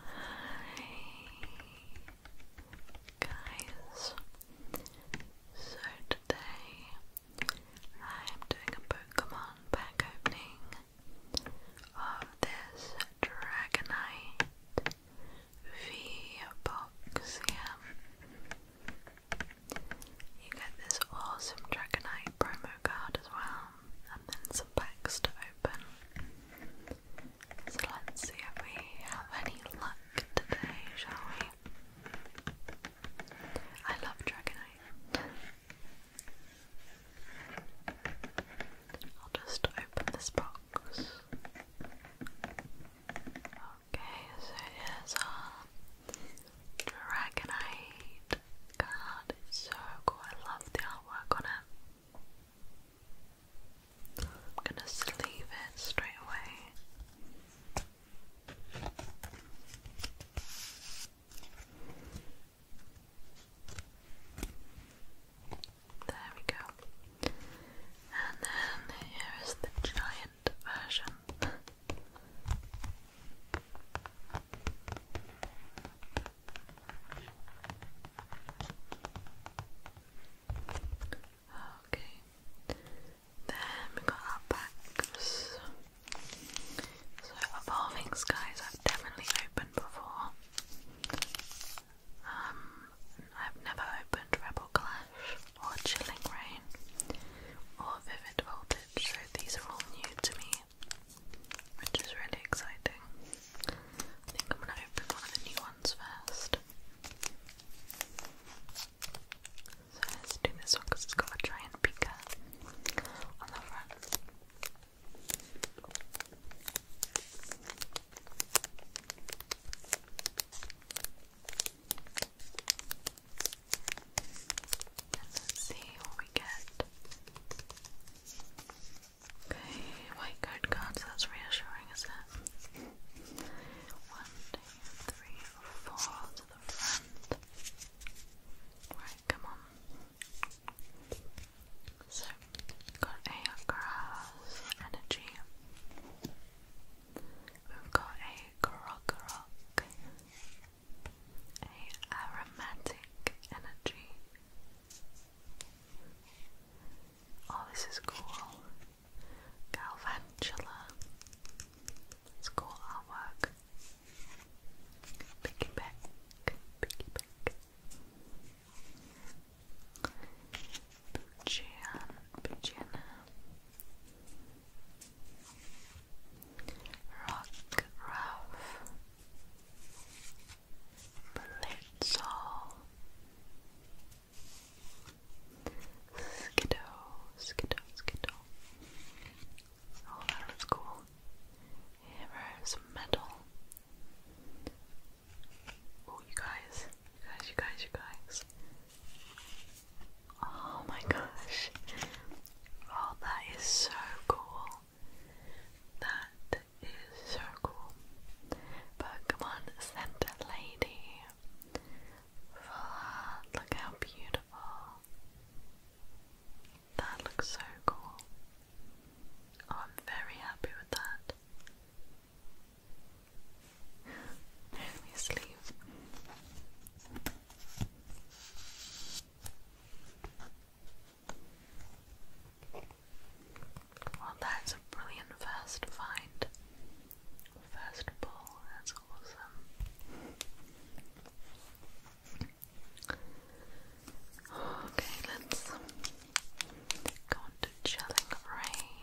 Hi guys. So today I'm doing a Pokemon pack opening of this Dragonite V box here. You get this awesome Dragonite promo card as well, and then some packs to open. So let's see if we have any luck today, shall we? I love Dragonite. I'll just open this box. Okay, so here's our Dragonite card. It's so cool. I love the artwork on it. I'm gonna sleeve it straight away. There we go. And then here is the giant version. Okay. Then we got our backs. So evolving skies I've definitely opened before. Um I've never opened Rebel Clash or Chilling Rain or Vivid Voltage, so these are all new to me, which is really exciting. I think I'm going to open one of the new ones first. So let's do this one because it's got a giant beaker on the front. And let's see what we get. Okay, white card cards, that's reassuring, isn't it? One, two, three, four to the front. Right, come on. So, got a grass energy. We've got a grog a aromatic energy, Oh, this is cool. Galvantula. It's cool artwork. Piggyback. Piggyback. Bujian. Bujian. Rock Ruff. Blitzel, Skiddo, Skiddo, Skiddo. Oh, that looks cool. Here's metal. Oh, you guys, you guys, you guys, you guys. Oh my gosh. Oh, that is so cool. That so cool. Pokemon Center Lady. look how beautiful. That looks so cool. Oh, I'm very happy with that. Only sleeve. Well, that's a brilliant first find. First ball, that's awesome. Okay, let's go on chilling rain.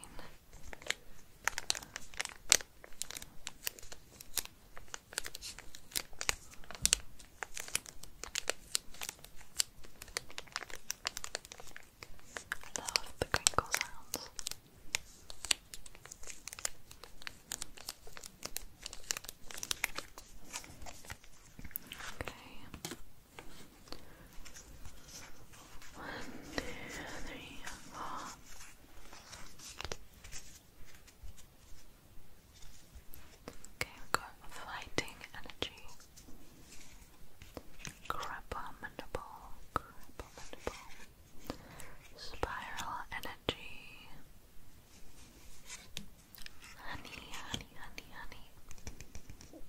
I love the crinkle sounds. Okay. One, two, three, four. Okay, we've got fighting energy. Crabominable, crabominable, spiral energy, honey, honey, honey, honey,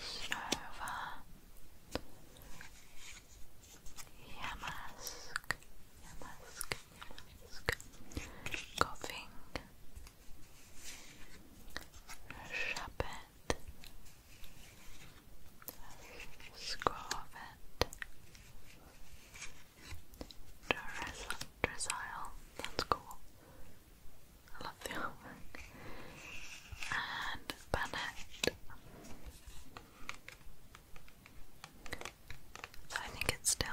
Snova, Yamask, Yamask, Yamask, coughing. Shop it. Scrub That's cool. I love the artwork. And Bennett. So I think it's still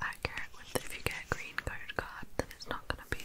accurate with if you get a green code card, then it's not going to be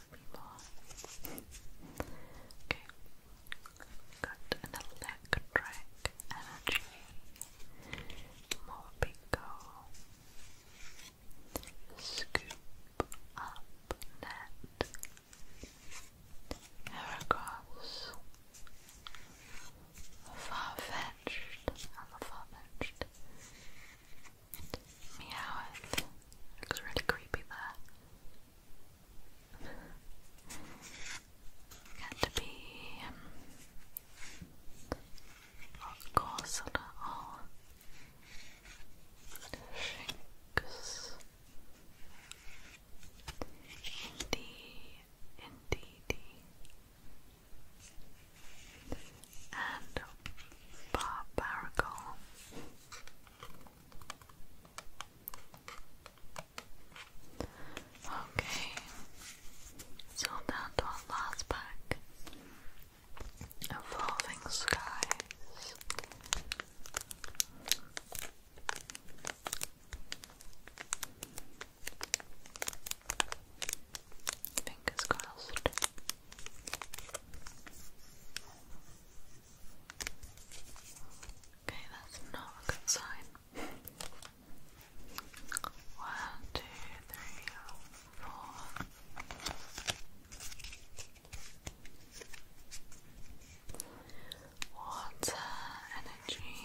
people. Okay. Got an electric energy. More bingo. Scoop up that Heracross. far I'm a Meowth. Looks really creepy there. Caterpie. Um, of course, not at all. Shinx. Indeed, indeed. And Barbaracle. Okay, so down our last pack Evolving Skies. Fingers crossed. Okay, that's not a good sign. One, two, three, four. Water energy,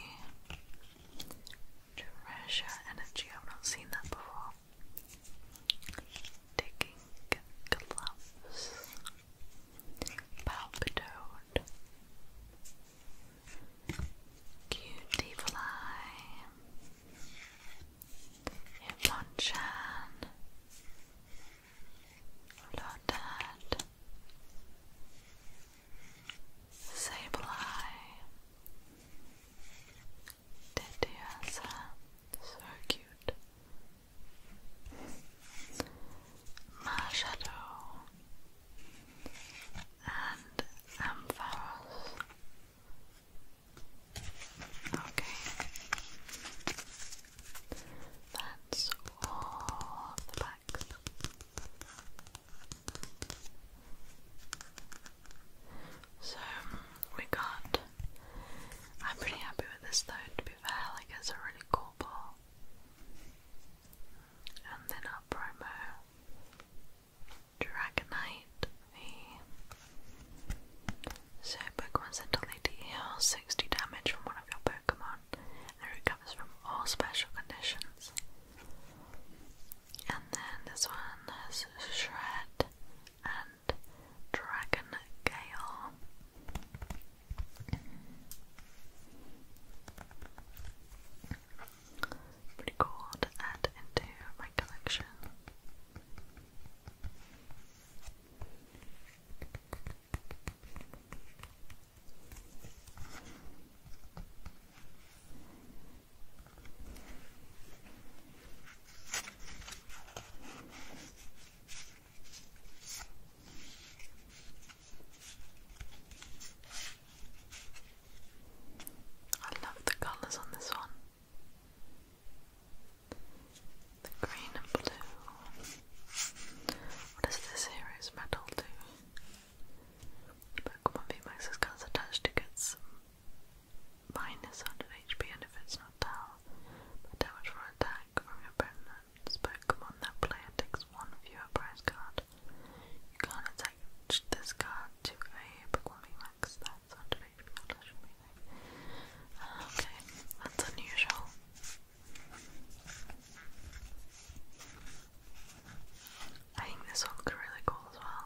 treasure energy. I've not seen that before digging gloves, palpitoad, cutie fly, Hypnonchan, Lodad, Sableye, Tediosa, so cute. Marshadow and Ampharos. Okay. That's all the packs. So we got I'm pretty happy with this though, to be fair, like it's a really cool ball. And then our promo Dragonite, so Pokemon sent to 60 damage from one of your Pokemon and it recovers from all special conditions. And then this one has Shred, and Dragon Gale. Pretty cool to add into my collection. I love the colours on this one. The green and blue. What is this hero's metal do? The Pokemon VMAX has colours attached to get some minus 100 HP and if it's not down, damage from attack from your opponent's Pokemon, that player takes one fewer prize card. You can't attach this card to a Pokemon Max, that's 100 HP, that should be uh, ah, Okay, that's unusual. I think this looks really cool as well.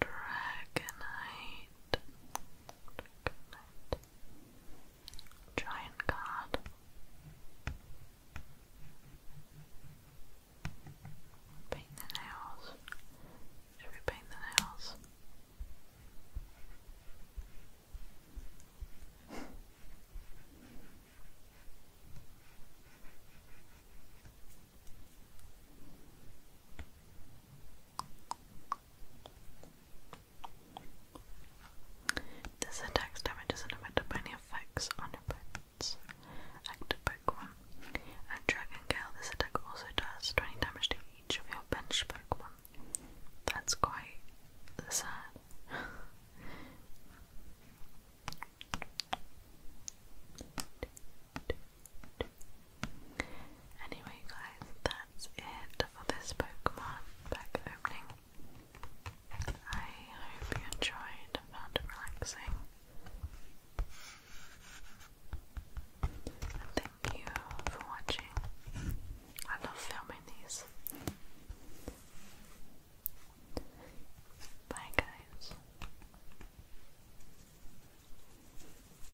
Dragonite. Dragonite. Giant God. Paint the nails. Should we paint the nails? This attacks damage is limited by any effects on opponent's active Pokemon. At Dragon Gale, this attack also does 20 damage to each of your bench Pokemon. That's quite sad. Anyway, guys, that's it for this Pokemon pack opening. I hope you enjoyed and found it relaxing. thank you for watching. I love filming these. Bye, guys.